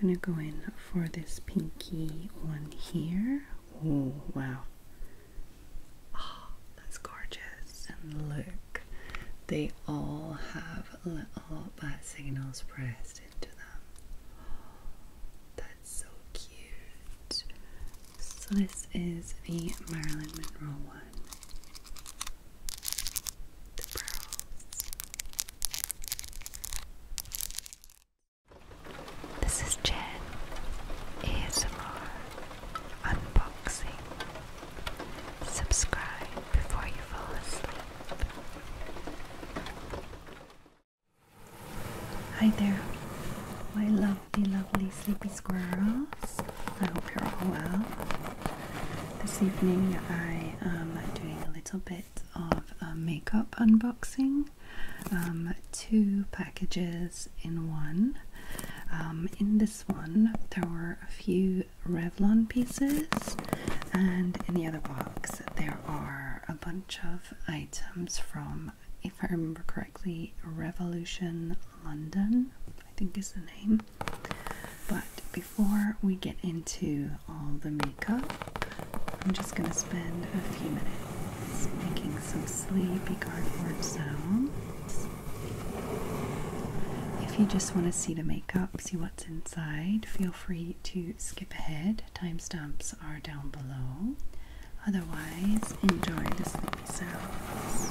I'm gonna go in for this pinky one here. Oh wow. Oh, that's gorgeous. And look, they all have little bat signals pressed into them. that's so cute. So this is the Marilyn Monroe one. This is Jen ASMR Unboxing. Subscribe before you fall asleep. Hi there, my lovely, lovely sleepy squirrels. I hope you're all well. This evening I am doing a little of a uh, makeup unboxing. Um, two packages in one. Um, in this one, there were a few Revlon pieces, and in the other box, there are a bunch of items from, if I remember correctly, Revolution London, I think is the name. But before we get into all the makeup, I'm just going to spend a few minutes making some sleepy cardboard sounds. If you just want to see the makeup, see what's inside, feel free to skip ahead. Timestamps are down below. Otherwise, enjoy the sleepy sounds.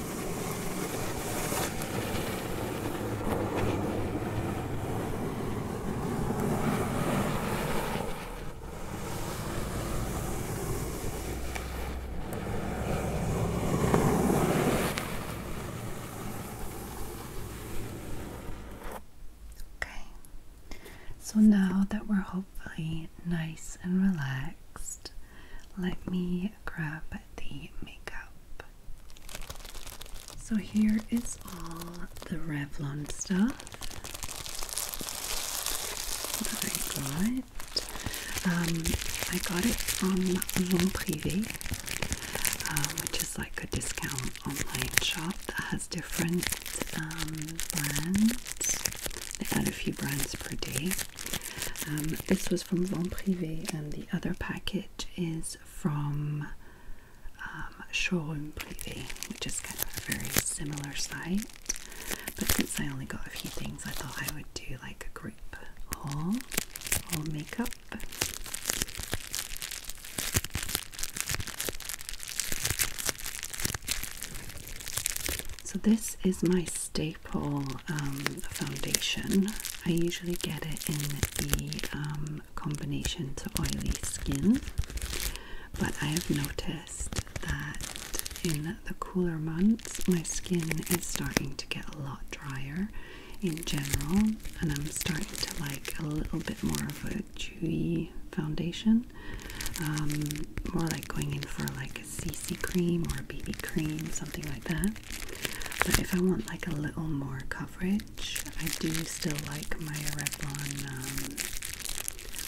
Okay, so now that we're hopefully nice and relaxed, let me grab the makeup. So here is all the Revlon stuff that I got. Um, I got it from Jean Privé, uh, which is like a discount online shop that has different um, brands. They add a few brands per day. Um, this was from Van Privé, and the other package is from um, Showroom Privé, which is kind of a very similar site. But since I only got a few things, I thought I would do like a group haul, all makeup. So this is my staple um, foundation. I usually get it in the um, combination to oily skin, but I have noticed that in the cooler months my skin is starting to get a lot drier in general, and I'm starting to like a little bit more of a dewy foundation, um, more like going in for like like a CC cream or a BB cream, something like that. But if I want like a little more coverage, I do still like my Revlon um,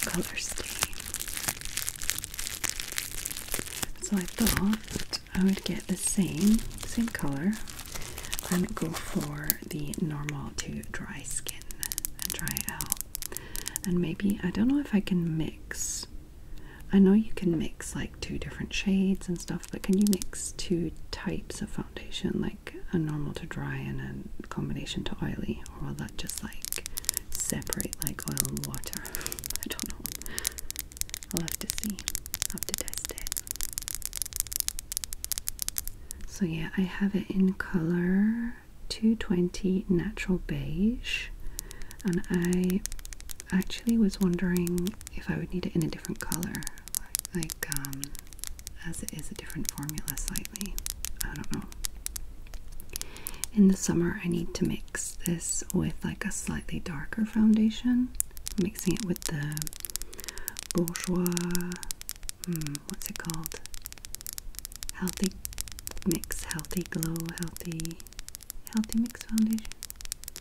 color stain. So I thought I would get the same, same color and go for the normal to dry skin and dry out. And maybe, I don't know if I can mix I know you can mix like two different shades and stuff, but can you mix two types of foundation, like a normal to dry and a combination to oily, or will that just like separate like oil and water? I don't know. I'll have to see. I'll have to test it. So yeah, I have it in color 220 natural beige and I actually was wondering if I would need it in a different color, like um, as it is a different formula slightly. I don't know. In the summer, I need to mix this with like a slightly darker foundation, mixing it with the bourgeois. Hmm, what's it called? Healthy mix, healthy glow, healthy Healthy Mix Foundation?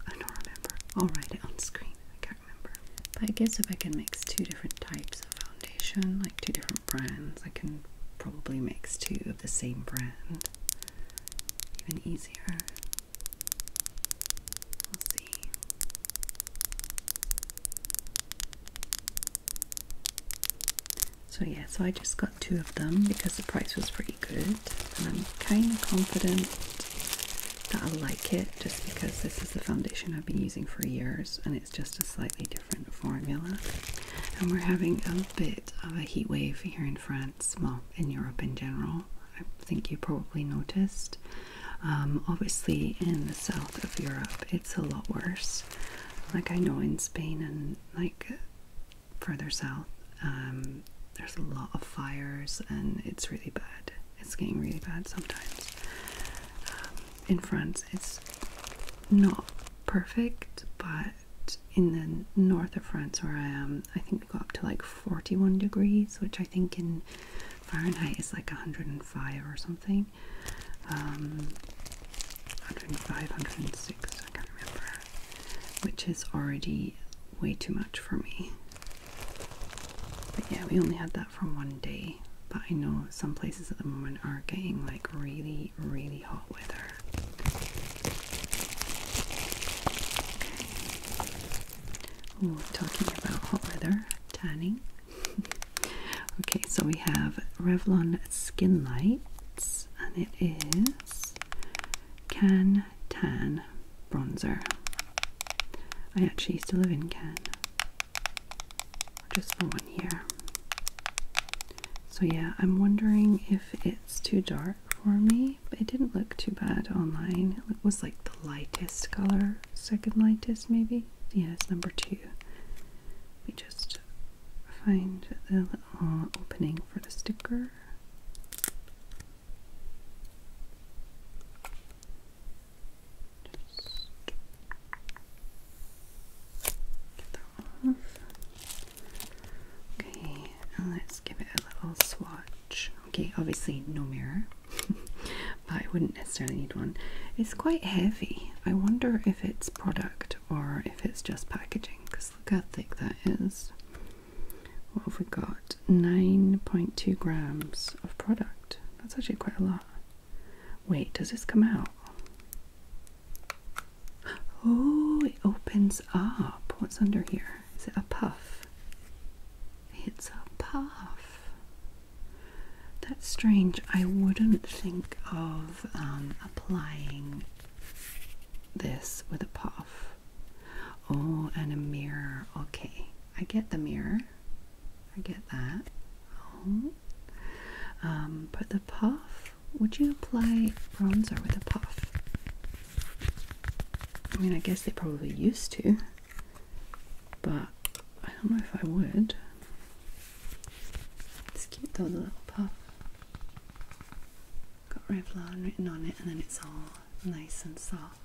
I don't remember. I'll write it on screen. I can't remember. But I guess if I can mix two different types of foundation, like two different brands, I can probably mix two of the same brand. Even easier. We'll see. So yeah, so I just got two of them because the price was pretty good, and I'm kind of confident that I like it just because this is the foundation I've been using for years and it's just a slightly different formula. And we're having a bit of a heat wave here in France, well, in Europe in general. I think you probably noticed. Um, obviously, in the south of Europe, it's a lot worse. Like I know in Spain and like further south, um, there's a lot of fires and it's really bad. It's getting really bad sometimes. Um, in France, it's not perfect, but in the north of France where I am, I think we go up to like 41 degrees, which I think in Fahrenheit is like 105 or something. Um, 105, 106, I can't remember which is already way too much for me. But yeah, we only had that for one day. But I know some places at the moment are getting like really, really hot weather. talking about hot weather, tanning. okay, so we have Revlon Skin Lights, and it is can Tan Bronzer. I actually used to live in Can. Just for one year. So yeah, I'm wondering if it's too dark for me, it didn't look too bad online. It was like the lightest color, second lightest maybe. Yeah, it's number two. Let me just find the little opening for the sticker. Okay, let's give it a little swatch. Okay, obviously no mirror, but I wouldn't necessarily need one. It's quite heavy. I wonder if it's product or if it's just packaging because look how thick that is what have we got? 9.2 grams of product. That's actually quite a lot. Wait, does this come out? Oh, it opens up. What's under here? Is it a puff? It's a puff. That's strange. I wouldn't think of um, applying this with a puff. Oh, and a mirror. Okay, I get the mirror. I get that. Oh. but um, the puff, would you apply bronzer with a puff? I mean, I guess they probably used to, but I don't know if I would. It's cute those the little puff. Got Revlon written on it, and then it's all nice and soft,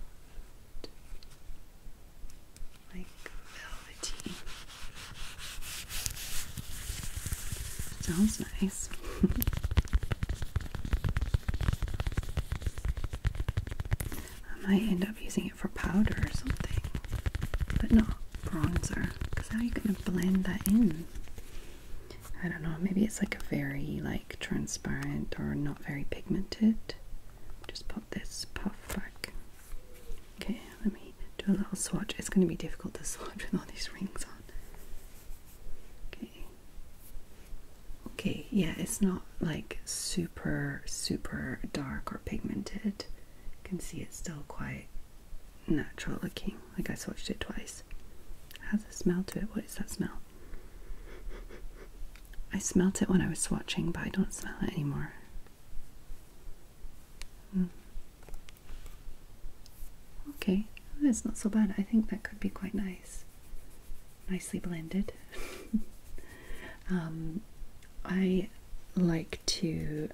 like velvety. Sounds nice. I might end up using it for powder or something, but not bronzer because how are you going to blend that in? I don't know, maybe it's like a very like transparent or not very pigmented. Just put this puff back. Okay, let me do a little swatch. It's going to be difficult to swatch with all these rings on. Okay. Okay, yeah, it's not like super, super dark or pigmented. You can see it's still quite natural looking. I guess I watched it twice. has a smell to it. What is that smell? I smelt it when I was swatching, but I don't smell it anymore. Hmm. Okay, oh, that's not so bad. I think that could be quite nice. Nicely blended. Um, I like to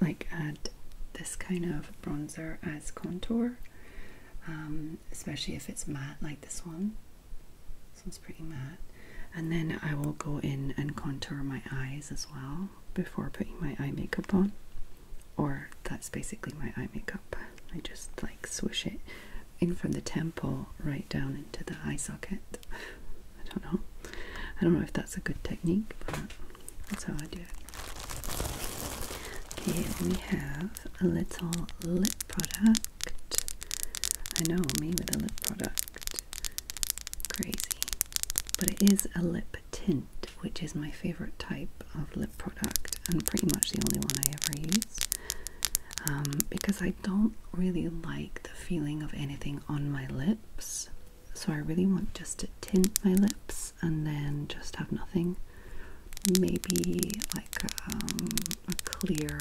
like add this kind of bronzer as contour um, especially if it's matte like this one. This one's pretty matte. And then I will go in and contour my eyes as well before putting my eye makeup on. Or that's basically my eye makeup. I just like swish it in from the temple right down into the eye socket. I don't know. I don't know if that's a good technique, but that's how I do it. Here we have a little lip product. I know, me with a lip product. Crazy. But it is a lip tint, which is my favorite type of lip product and pretty much the only one I ever use. Um, because I don't really like the feeling of anything on my lips. So I really want just to tint my lips and then just have nothing. Maybe like um, a clear,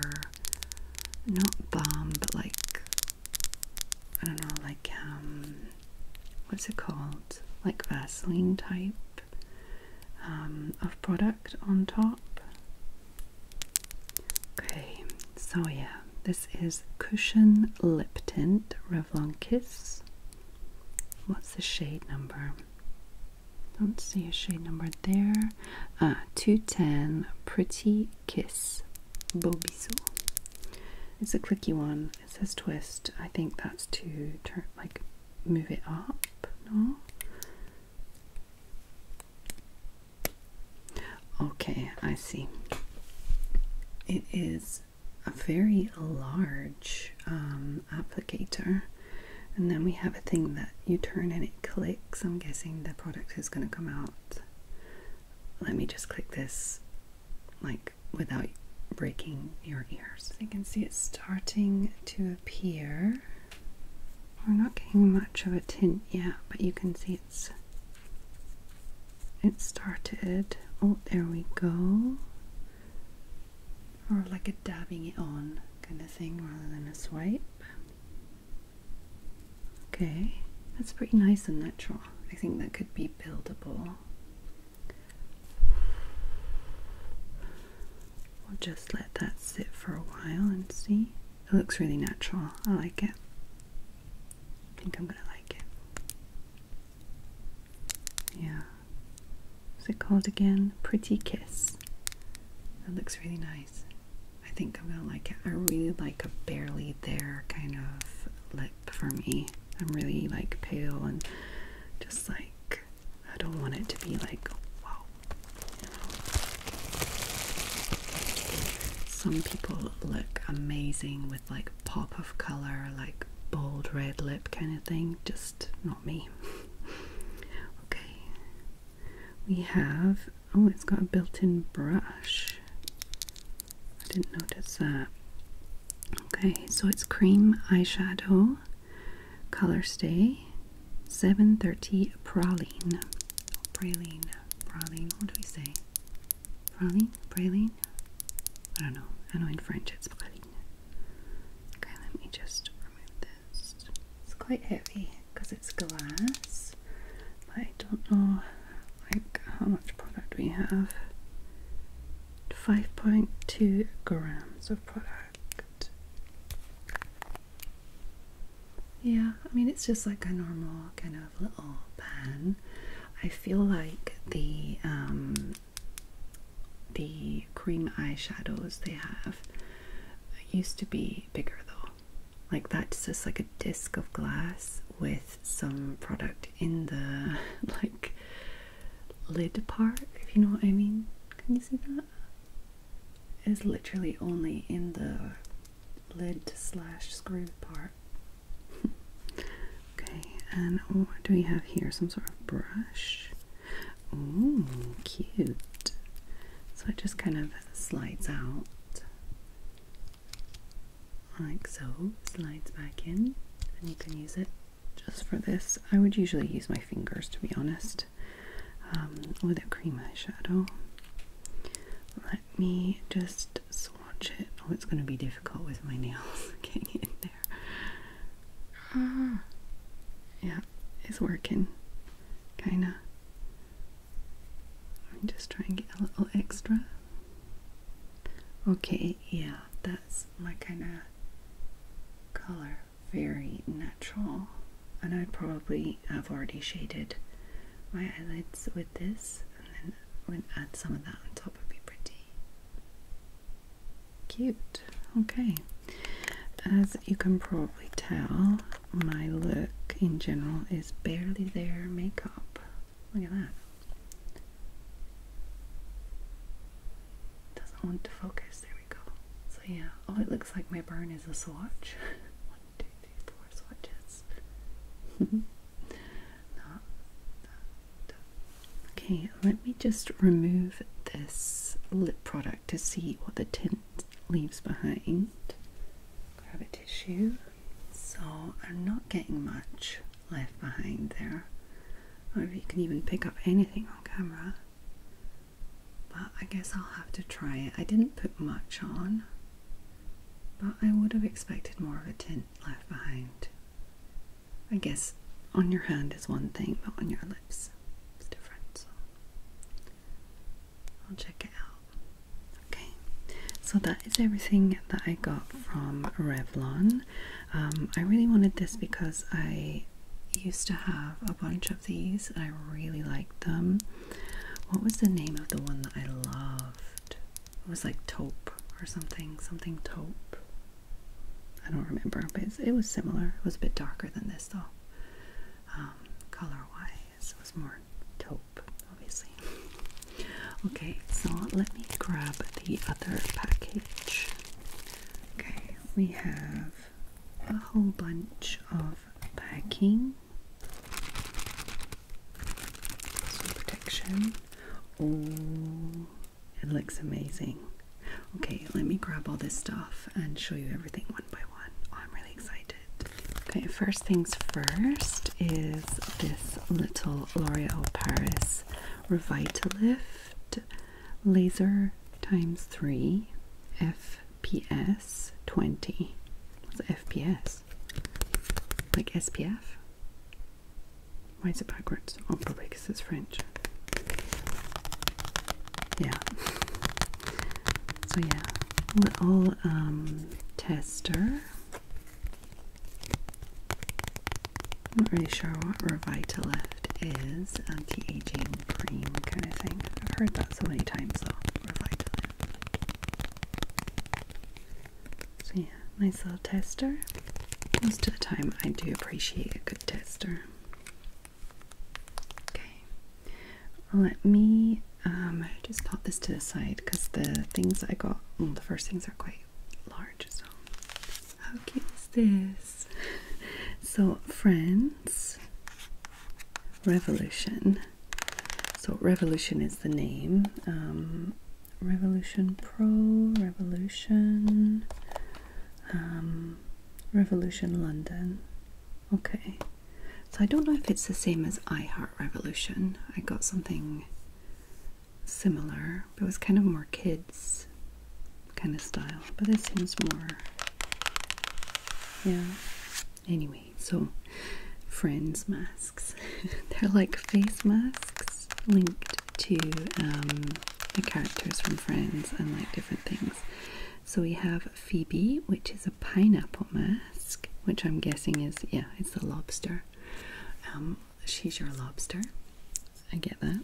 not balm, but like, I don't know, like, um, what's it called? Like Vaseline type um, of product on top. Okay, so yeah, this is Cushion Lip Tint Revlon Kiss. What's the shade number? Don't see a shade number there. Uh, 210 Pretty Kiss Bobiso. It's a clicky one. It says twist. I think that's to turn, like, move it up. No? Okay, I see. It is a very large um, applicator and then we have a thing that you turn and it clicks I'm guessing the product is going to come out let me just click this like without breaking your ears you can see it starting to appear we're not getting much of a tint yet but you can see it's it started oh there we go or like a dabbing it on kind of thing rather than a swipe. Okay, that's pretty nice and natural. I think that could be buildable. We'll just let that sit for a while and see. It looks really natural. I like it. I think I'm gonna like it. Yeah. What's it called again? Pretty Kiss. That looks really nice. I think I'm gonna like it. I really like a barely there kind of lip for me. I'm really like pale and just like I don't want it to be like wow. You know? Some people look amazing with like pop of color, like bold red lip kind of thing. Just not me. okay, we have oh, it's got a built in brush. I didn't notice that. Okay, so it's cream eyeshadow color stay 730 praline. praline, praline, what do we say? Praline, praline? I don't know. I know in French it's praline. Okay, let me just remove this. It's quite heavy because it's glass, but I don't know like how much product we have. 5.2 grams of product. Yeah, I mean it's just like a normal kind of little pen. I feel like the um, the cream eyeshadows they have used to be bigger though. Like that's just like a disc of glass with some product in the like lid part, if you know what I mean. Can you see that? Is literally only in the lid slash screw part. Okay, and what do we have here? Some sort of brush. Oh, cute. So it just kind of slides out like so, slides back in, and you can use it just for this. I would usually use my fingers to be honest um, with a cream eyeshadow. Let me just swatch it. Oh, it's going to be difficult with my nails getting in there. Ah, yeah, it's working, kinda. Let me just try and get a little extra. Okay, yeah, that's my kind of color. Very natural. And I'd probably have already shaded my eyelids with this, and then I would add some of that on top, would be pretty. Cute. Okay. As you can probably tell, my look in general is barely there makeup. Look at that. Doesn't want to focus. There we go. So yeah. Oh, it looks like my burn is a swatch. One, two, three, four swatches. Not Okay, let me just remove this lip product to see what the tint leaves behind. Grab a tissue. So I'm not getting much left behind there. I don't know if you can even pick up anything on camera. But I guess I'll have to try it. I didn't put much on, but I would have expected more of a tint left behind. I guess on your hand is one thing, but on your lips it's different. So I'll check it out. Okay, so that is everything that I got from Revlon. Um, I really wanted this because I used to have a bunch of these. and I really liked them. What was the name of the one that I loved? It was like taupe or something, something taupe. I don't remember, but it was similar. It was a bit darker than this, though. Um, color wise, was more taupe, obviously. Okay, so let me grab the other package. Okay, we have a whole bunch of packing, protection. Oh, it looks amazing. Okay, let me grab all this stuff and show you everything one by one. Oh, I'm really excited. Okay, first things first is this little L'Oreal Paris Revitalift Laser times 3 FPS 20. What's FPS? Like SPF? Why is it backwards? Oh, probably because it's French. Yeah. So yeah, little um, tester. Not really sure what Revitalift is. Um, Anti-aging cream kind of thing. I've heard that so many times though. Revitalift. So yeah, nice little tester. Most of the time, I do appreciate a tester. Okay, let me um, just pop this to the side because the things I got, the first things are quite large. So, how cute is this? So, Friends Revolution. So, Revolution is the name. Um, revolution Pro, Revolution um, Revolution London. Okay, so I don't know if it's the same as iHeart Revolution. I got something similar, but it was kind of more kids kind of style, but this seems more. Yeah. Anyway, so friends masks. They're like face masks linked to um, the characters from Friends and like different things. So we have Phoebe, which is a pineapple mask, which I'm guessing is, yeah, it's the lobster. Um, she's your lobster. I get that.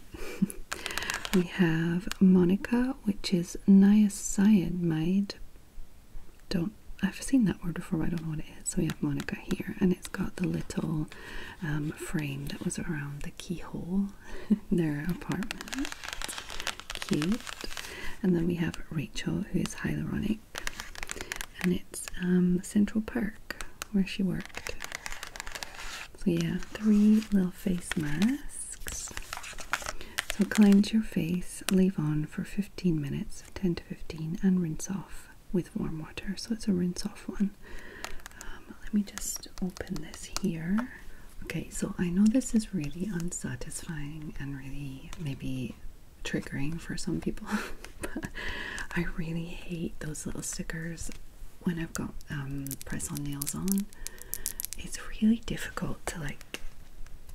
we have Monica, which is niacinamide. Don't I've seen that word before, I don't know what it is. So we have Monica here, and it's got the little um, frame that was around the keyhole Their apartment. Cute. And then we have Rachel, who is hyaluronic. And it's um, Central Park, where she worked. So yeah, three little face masks. So cleanse your face, leave on for 15 minutes, 10 to 15, and rinse off with warm water. So it's a rinse off one. Um, let me just open this here. Okay, so I know this is really unsatisfying and really maybe triggering for some people, but I really hate those little stickers when I've got um, press on nails on. It's really difficult to like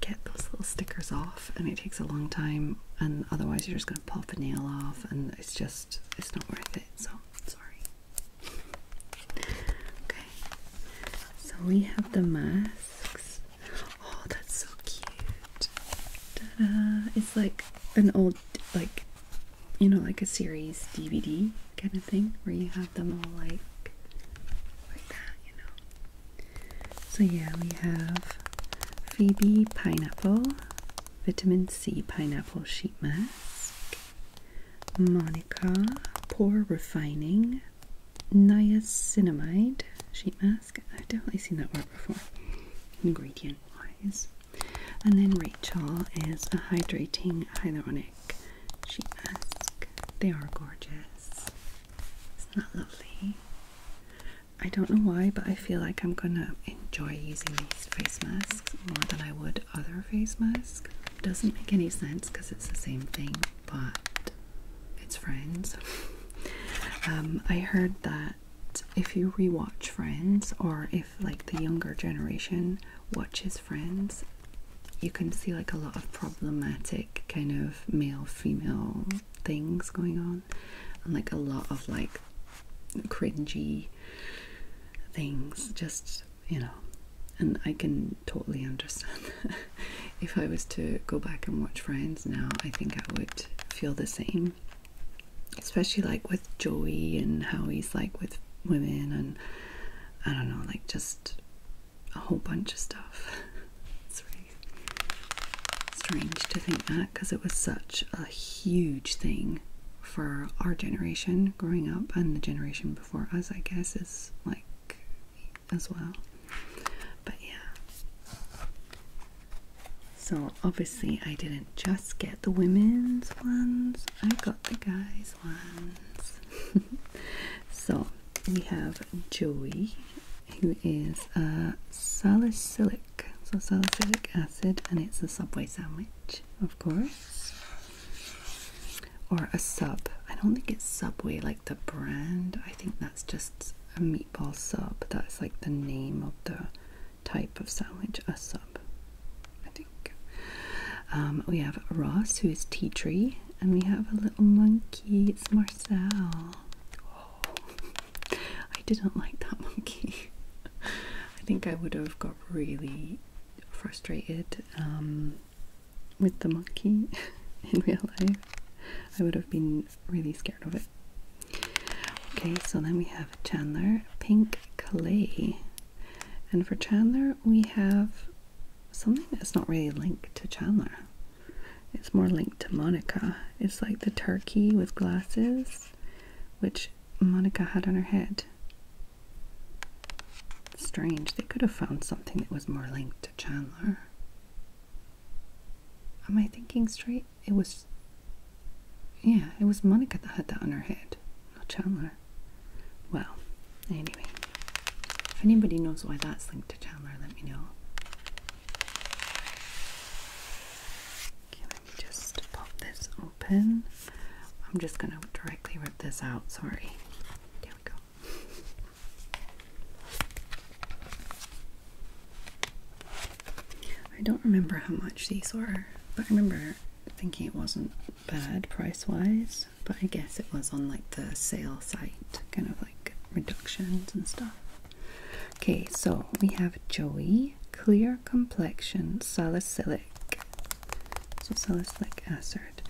get those little stickers off, and it takes a long time. And otherwise, you're just going to pop a nail off, and it's just it's not worth it. So sorry. Okay, so we have the masks. Oh, that's so cute. It's like an old, like, you know, like a series DVD kind of thing where you have them all like like that, you know. So yeah, we have Phoebe Pineapple, Vitamin C Pineapple Sheet Mask. Monica Pore Refining Niacinamide Sheet Mask. I've definitely seen that word before, ingredient wise. And then Rachel is a hydrating hyaluronic sheet mask. They are gorgeous. Isn't lovely? I don't know why, but I feel like I'm gonna enjoy using these face masks more than I would other face mask doesn't make any sense because it's the same thing, but it's Friends. Um, I heard that if you rewatch Friends, or if like the younger generation watches Friends, you can see like a lot of problematic kind of male female things going on, and like a lot of like cringy things, just you know, and I can totally understand. if I was to go back and watch Friends now, I think I would feel the same, especially like with Joey and how he's like with women, and I don't know, like just a whole bunch of stuff. it's really strange to think that because it was such a huge thing for our generation growing up and the generation before us, I guess, is like as well. But yeah. So obviously, I didn't just get the women's ones, I got the guys' ones. so we have Joey, who is a salicylic, so salicylic acid, and it's a Subway sandwich, of course or a sub. I don't think it's Subway like the brand. I think that's just a meatball sub. That's like the name of the type of sandwich, a sub. I think um, we have Ross, who is tea tree, and we have a little monkey. It's Marcel. Oh. I didn't like that monkey. I think I would have got really frustrated um, with the monkey in real life, I would have been really scared of it. Okay, so then we have Chandler Pink Clay. And for Chandler, we have something that's not really linked to Chandler. It's more linked to Monica. It's like the turkey with glasses, which Monica had on her head. Strange, they could have found something that was more linked to Chandler. Am I thinking straight? It was. Yeah, it was Monica that had that on her head, not Chandler. Well, anyway. If anybody knows why that's linked to Chandler, let me know. Okay, let me just pop this I'm just going to directly rip this out. Sorry. There we go. I don't remember how much these were, but I remember thinking it wasn't bad price wise, but I guess it was on like the sale site, kind of like reductions and stuff. Okay, so we have Joey Clear Complexion Salicylic so Sosalis like acid.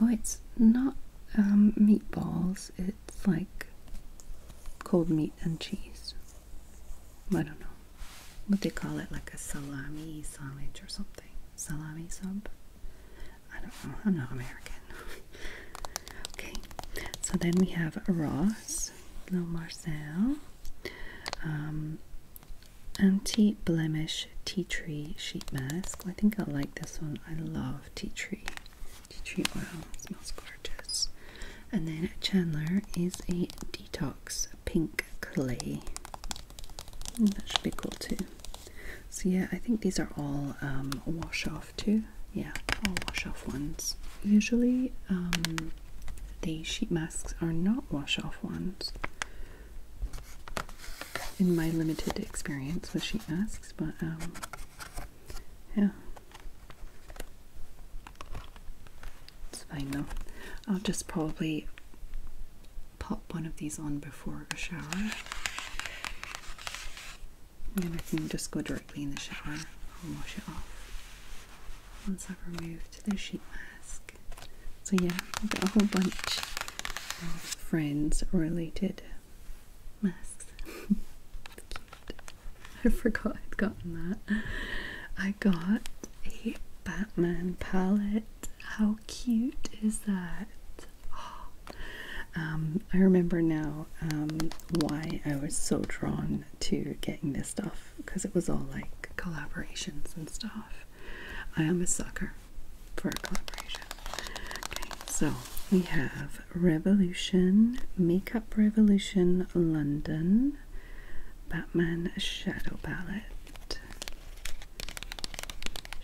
Oh, it's not um, meatballs. It's like cold meat and cheese. I don't know what they call it, like a salami sandwich or something. Salami sub. I don't know. I'm not American. okay. So then we have Ross, Little Marcel. Um, anti-blemish tea tree sheet mask i think i like this one i love tea tree tea tree oil smells gorgeous and then chandler is a detox pink clay mm, that should be cool too so yeah i think these are all um, wash off too yeah all wash off ones usually um, the sheet masks are not wash off ones in my limited experience what she asks, but um, yeah. It's fine though. I'll just probably pop one of these on before a shower. And then I can just go directly in the shower and wash it off once I've removed to the sheet mask. So yeah, I've got a whole bunch of friends related masks. I forgot I'd gotten that. I got a Batman palette. How cute is that? Um, I remember now um, why I was so drawn to getting this stuff because it was all like collaborations and stuff. I am a sucker for a collaboration. Okay, so we have Revolution, Makeup Revolution London, Batman Shadow Palette.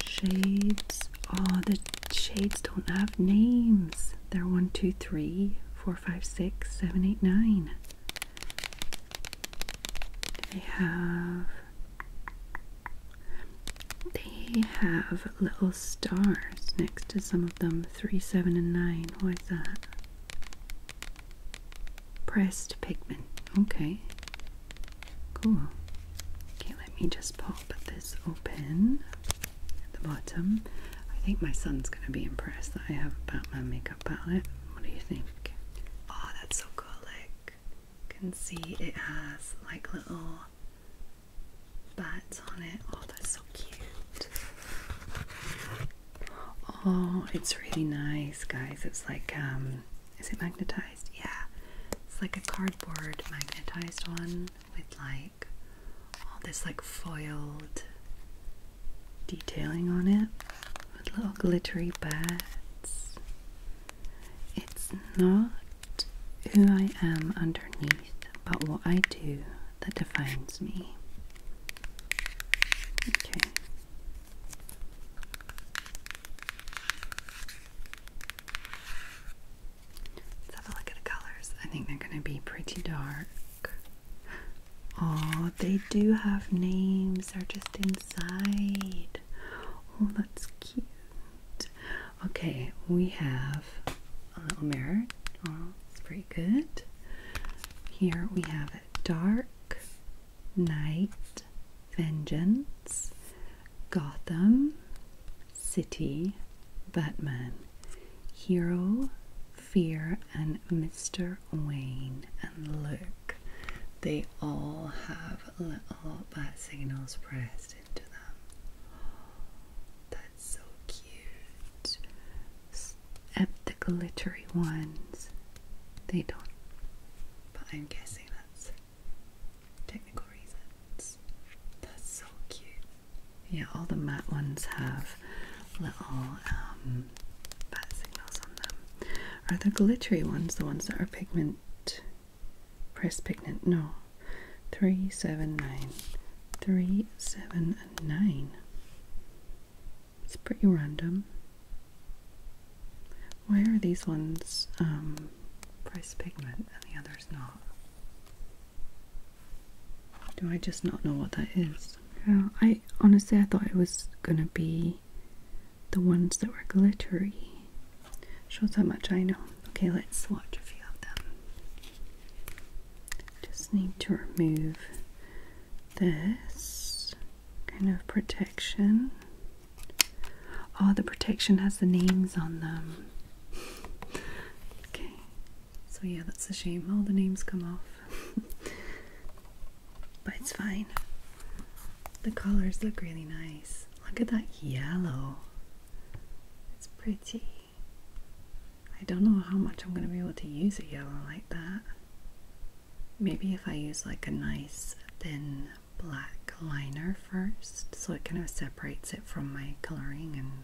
Shades. Oh, the shades don't have names. They're 1, 2, 3, 4, 5, 6, 7, 8, 9. They have they have little stars next to some of them. Three, seven, and nine. What is that? Pressed pigment. Okay. Cool. Okay, let me just pop this open at the bottom. I think my son's gonna be impressed that I have Batman makeup. What do you think? Oh, that's so cool. Like, can see it has like little bats on it. Oh, that's so cute. Oh, it's really nice, guys. It's like, um, is it magnetized? Yeah, it's like a cardboard magnetized one with like all this like foiled detailing on it with little glittery birds. It's not who I am underneath, but what I do that defines me. Okay. Let's have a look at the colors. I think they're going to be pretty dark. Oh, they do have names are just inside. Oh, that's cute. Okay, we have a little mirror. Oh, it's pretty good. Here we have Dark, Night, Vengeance, Gotham, City, Batman, Hero, Fear, and Mr. Wayne, and Luke, they all have little bat signals pressed into them. That's so cute. At the glittery ones, they don't. But I'm guessing that's technical reasons. That's so cute. Yeah, all the matte ones have little um, are the glittery ones the ones that are pigment, press pigment? No. Three, seven, nine. It's pretty random. Why are these ones um, pigment and the others not? Do I just not know what that is? Yeah, I honestly I thought it was gonna be the ones that were glittery. Shows how much I know. Okay, let's watch a few of them. Just need to remove this kind of protection. Oh, the protection has the names on them. okay, so yeah, that's a shame. All the names come off. but it's fine. The colors look really nice. Look at that yellow. It's pretty. I don't know how much I'm going to be able to use a yellow like that. Maybe if I use like a nice thin black liner first so it kind of separates it from my coloring and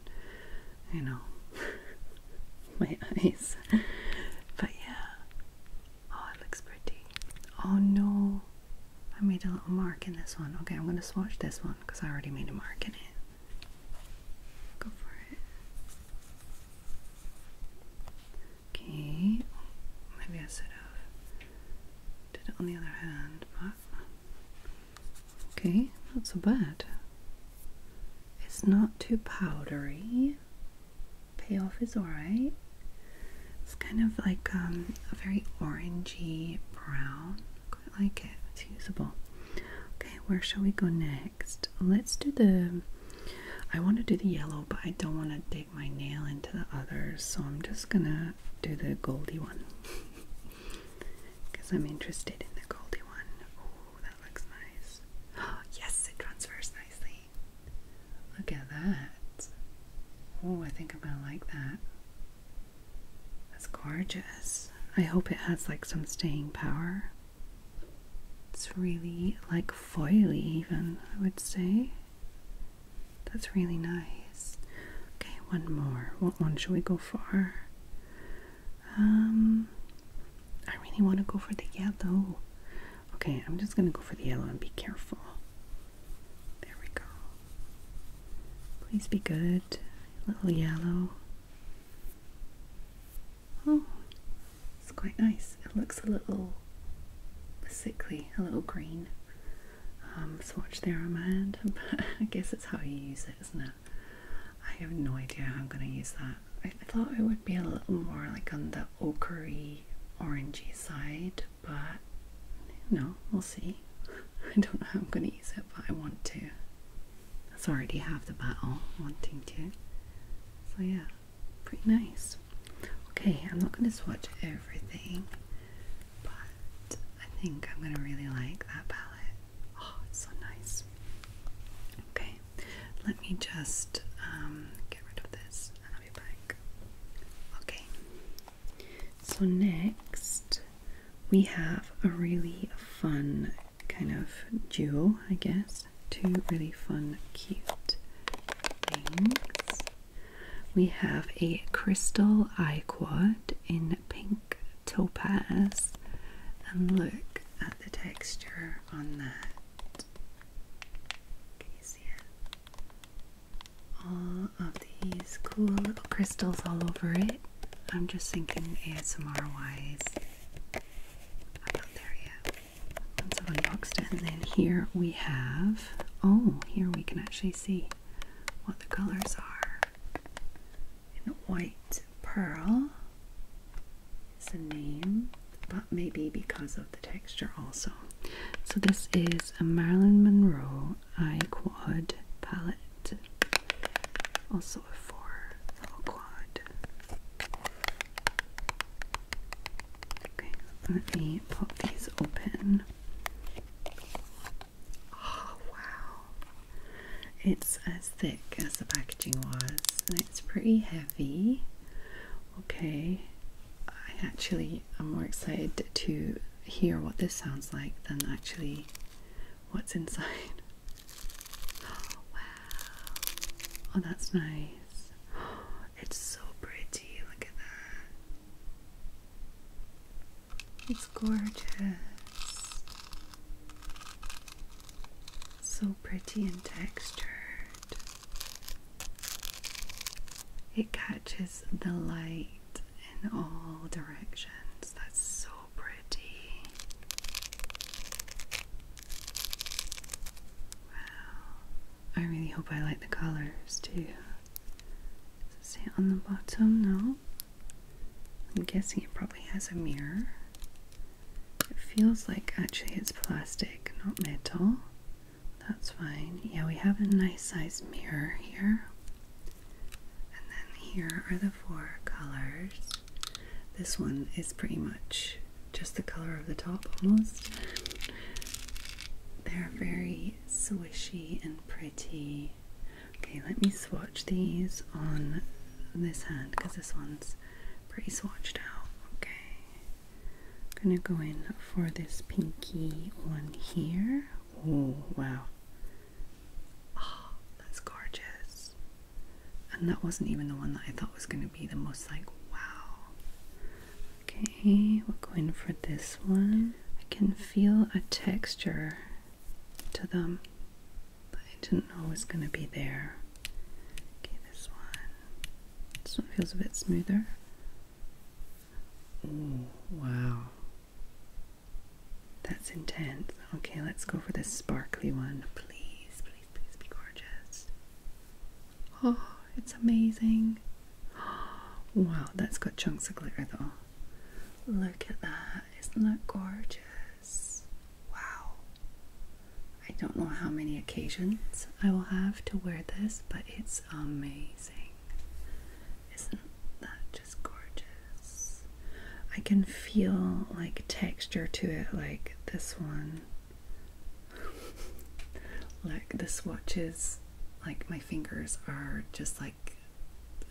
you know my eyes. But yeah, Oh, it looks pretty. Oh no, I made a little mark in this one. Okay, I'm going to swatch this one because I already made a mark in it. Go for it. Okay, maybe I should have did it on the other hand, but okay, not so bad. It's not too powdery payoff is alright. It's kind of like um, a very orangey brown. Quite like it. It's usable. Okay, where shall we go next? Let's do the. I want to do the yellow, but I don't want to dig my nail into the others, so I'm just gonna do the goldy one because I'm interested in the goldy one. Oh, that looks nice. yes, it transfers nicely. Look at that. Oh, I think I'm gonna like that. That's gorgeous. I hope it has like some staying power. It's really like foily, even, I would say. That's really nice. Okay, one more. What one should we go for? Um, I really want to go for the yellow. Okay, I'm just going to go for the yellow and be careful. There we go. Please be good. Little yellow. Oh, it's quite nice. It looks a little sickly, a little green um, swatch there on my hand, but I guess it's how you use it, isn't it? I have no idea how I'm going to use that. I thought it would be a little more like on the ochery, orangey side, but no, we'll see. I don't know how I'm going to use it, but I want to. That's already half the battle, wanting to. So yeah, pretty nice. Okay, I'm not going to swatch everything, but I think I'm going to really like that palette. Oh, it's so nice. Okay, let me just um, get rid of this Okay, so next we have a really fun kind of duo, I guess. Two really fun, cute things. We have a crystal eye quad in pink topaz, and look at the texture on that. All of these cool little crystals all over it. I'm just thinking ASMR wise. I'm not there yet. Once I've unboxed it, and then here we have oh, here we can actually see what the colors are. And white pearl is a name, but maybe because of the texture also. So this is a Marilyn Monroe Eye Quad palette, also a four little quad. Okay, let me pop these open. Oh wow! It's as thick as the packaging was, and it's pretty heavy. Okay, I actually am more excited to hear what this sounds like than actually what's inside. Oh, wow. Oh, that's nice. it's so pretty. Look at that. It's gorgeous. So pretty and textured. It catches the light in all directions. That's so pretty. Wow. I really hope I like the colors too. Does it on the bottom? No. I'm guessing it probably has a mirror. It feels like actually it's plastic, not metal. That's fine. Yeah, we have a nice size mirror here. And then here are the four colors. This one is pretty much just the color of the top almost. They're very swishy and pretty. Okay, let me swatch these on this hand because this one's pretty swatched out. Okay. I'm gonna go in for this pinky one here. Oh, wow. Oh, that's gorgeous. And that wasn't even the one that I thought was gonna be the most like, wow. Okay, we're going for this one. I can feel a texture to them that I didn't know was gonna be there. Okay, this one. This one feels a bit smoother. Ooh, wow. That's intense. Okay, let's go for the sparkly one. Please, please, please be gorgeous. Oh, it's amazing. Wow, that's got chunks of glitter though. Look at that. Isn't that gorgeous? Wow. I don't know how many occasions I will have to wear this, but it's amazing. Isn't that just gorgeous? I can feel like texture to it, like this one. Like the swatches, like my fingers are just like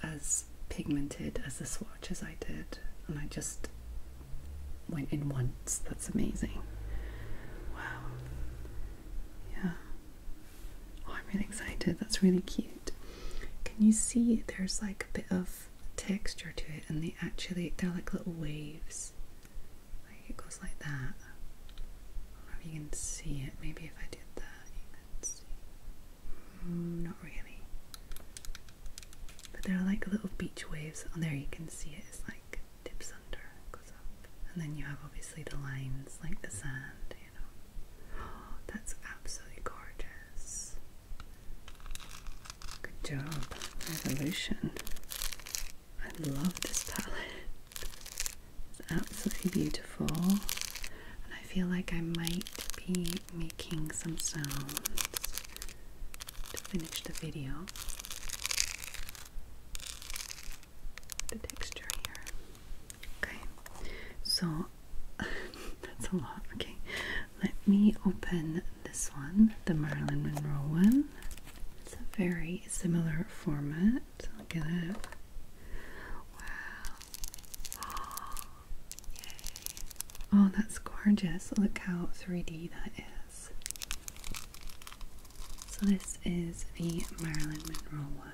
as pigmented as the swatches I did, and I just went in once. That's amazing. Wow. Yeah. Oh, I'm really excited. That's really cute. Can you see there's like a bit of texture to it and they actually they're like little waves. Like it goes like that. I don't know if you can see it. Maybe if I did that you can see. Mm, not really. But they're like little beach waves and oh, there you can see it. It's like dips under, goes up. And then you have obviously the lines like the sand, you know. that's absolutely gorgeous. Good job. Revolution. I love this palette. absolutely beautiful. And I feel like I might be making some sounds to finish the video the texture here. Okay, so that's a lot. Okay, let me open this one, the Marilyn Monroe one. It's a very similar format. Look at that. Wow. yay. oh that's gorgeous. Look how 3D that is. So this is the Marilyn Mineral one.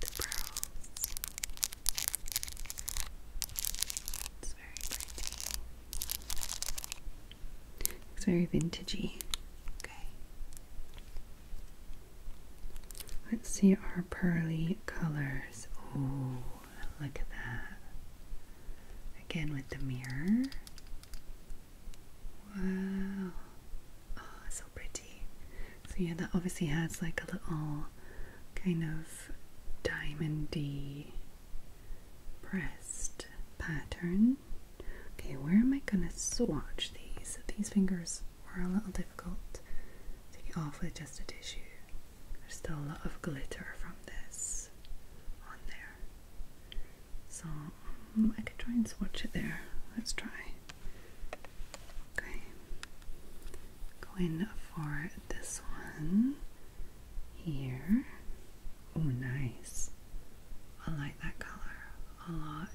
The pearls. It's very pretty. It's very vintagey. Okay. Let's see our pearly colors. Oh, look at that. Again with the mirror. Wow. Oh, so pretty. So yeah, that obviously has like a little kind of diamondy pressed pattern. Okay, where am I gonna swatch these? These fingers are a little difficult to get off with just a tissue. There's still a lot of glitter from this on there. So um, I could try and swatch it there. Let's try. Okay. Going for this one here. Oh, nice. I like that color a lot.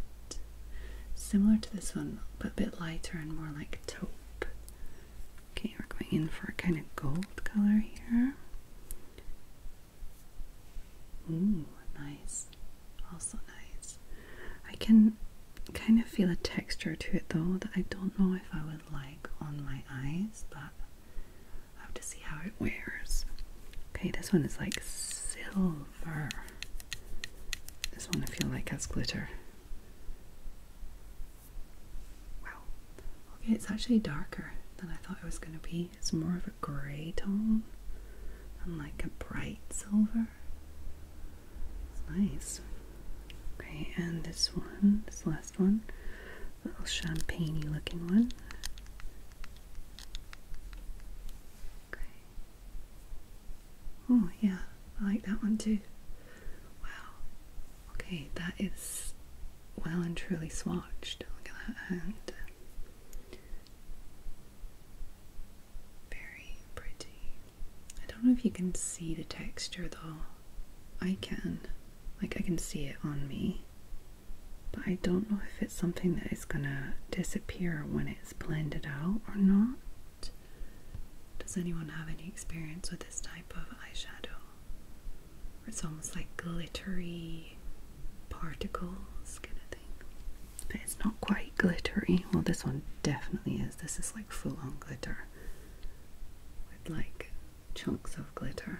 Similar to this one, but a bit lighter and more like taupe. Okay, we're going in for a kind of gold color here. Ooh, nice. Also nice. I can kind of feel a texture to it though that I don't know if I would like on my eyes, but I have to see how it wears. Okay, this one is like silver. This one I feel like has glitter. Wow, Okay, it's actually darker than I thought it was going to be. It's more of a grey tone and like a bright silver. nice. Okay, and this one, this last one, little champagne looking one. Okay. Oh yeah, I like that one too. Wow. Okay, that is well and truly swatched. Look at that hand. Very pretty. I don't know if you can see the texture though. I can. Like, I can see it on me. But I don't know if it's something that is gonna disappear when it's blended out or not. Does anyone have any experience with this type of eyeshadow? it's almost like glittery particles kind of thing. But it's not quite glittery. Well, this one definitely is. This is like full on glitter with like chunks of glitter.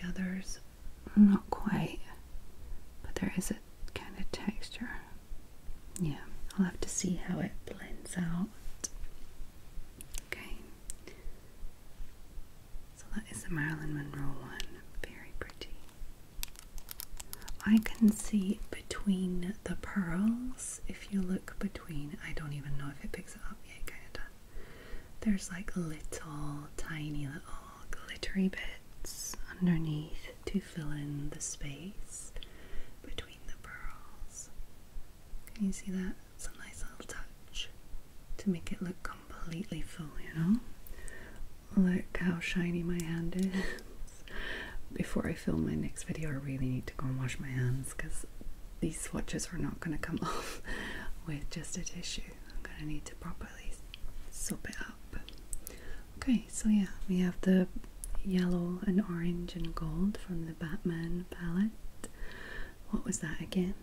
The others, not quite, but there is a kind of texture. Yeah, I'll have to see how it blends out. Okay. So that is the Marilyn Monroe one. Very pretty. I can see between the pearls, if you look between, I don't even know if it picks it up yet, kind of There's like little, tiny little glittery bits underneath to fill in the space between the pearls. Can you see that? It's a nice little touch to make it look completely full, you know? Look how shiny my hand is. Before I film my next video, I really need to go and wash my hands because these swatches are not going to come off with just a tissue. I'm going to need to properly soap it up. Okay, so yeah, we have the yellow and orange and gold from the Batman palette what was that again?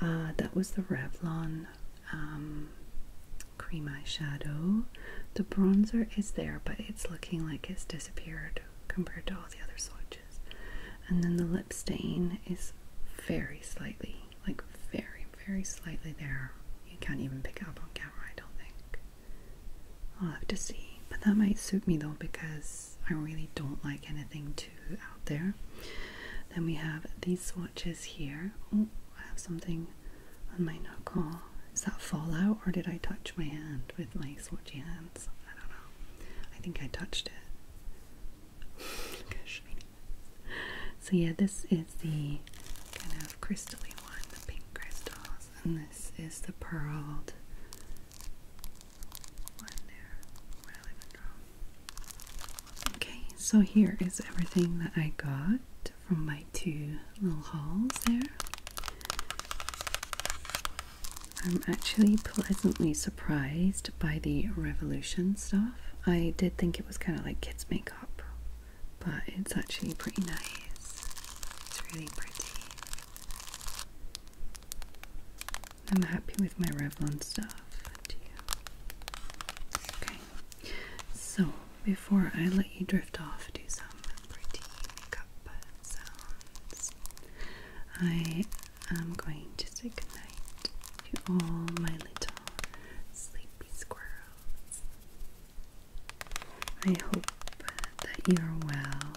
Uh, that was the Revlon um, cream eyeshadow. The bronzer is there, but it's looking like it's disappeared compared to all the other swatches. And then the lip stain is very slightly, like very, very slightly there. You can't even pick it up on camera, I don't think. I'll have to see. But that might suit me though because I really don't like anything too out there. Then we have these swatches here. Oh, I have something on my knuckle. Is that fallout or did I touch my hand with my swatchy hands? I don't know. I think I touched it. so yeah, this is the kind of crystalline one, the pink crystals, and this is the pearled Okay, so here is everything that I got from my two little hauls there. I'm actually pleasantly surprised by the Revolution stuff. I did think it was kind of like kids' makeup, but it's actually pretty nice. It's really pretty. I'm happy with my Revlon stuff. Okay. So before I let you drift off, do some pretty makeup sounds. I am going to say goodnight to all my little sleepy squirrels. I hope that you are well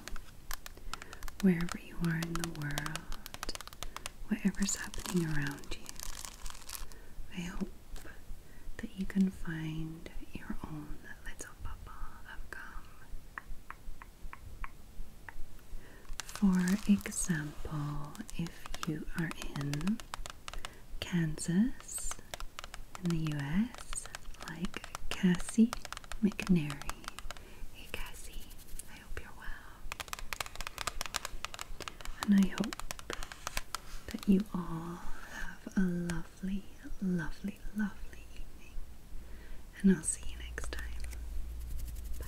wherever you are in the world, whatever's happening around you. I hope that you can find your own little bubble of calm. For example, if you are in Kansas in the US, like Cassie McNairy, Hey Cassie, I hope you're well. And I hope that you all have a lovely, lovely, lovely evening. And I'll see you next time. Bye.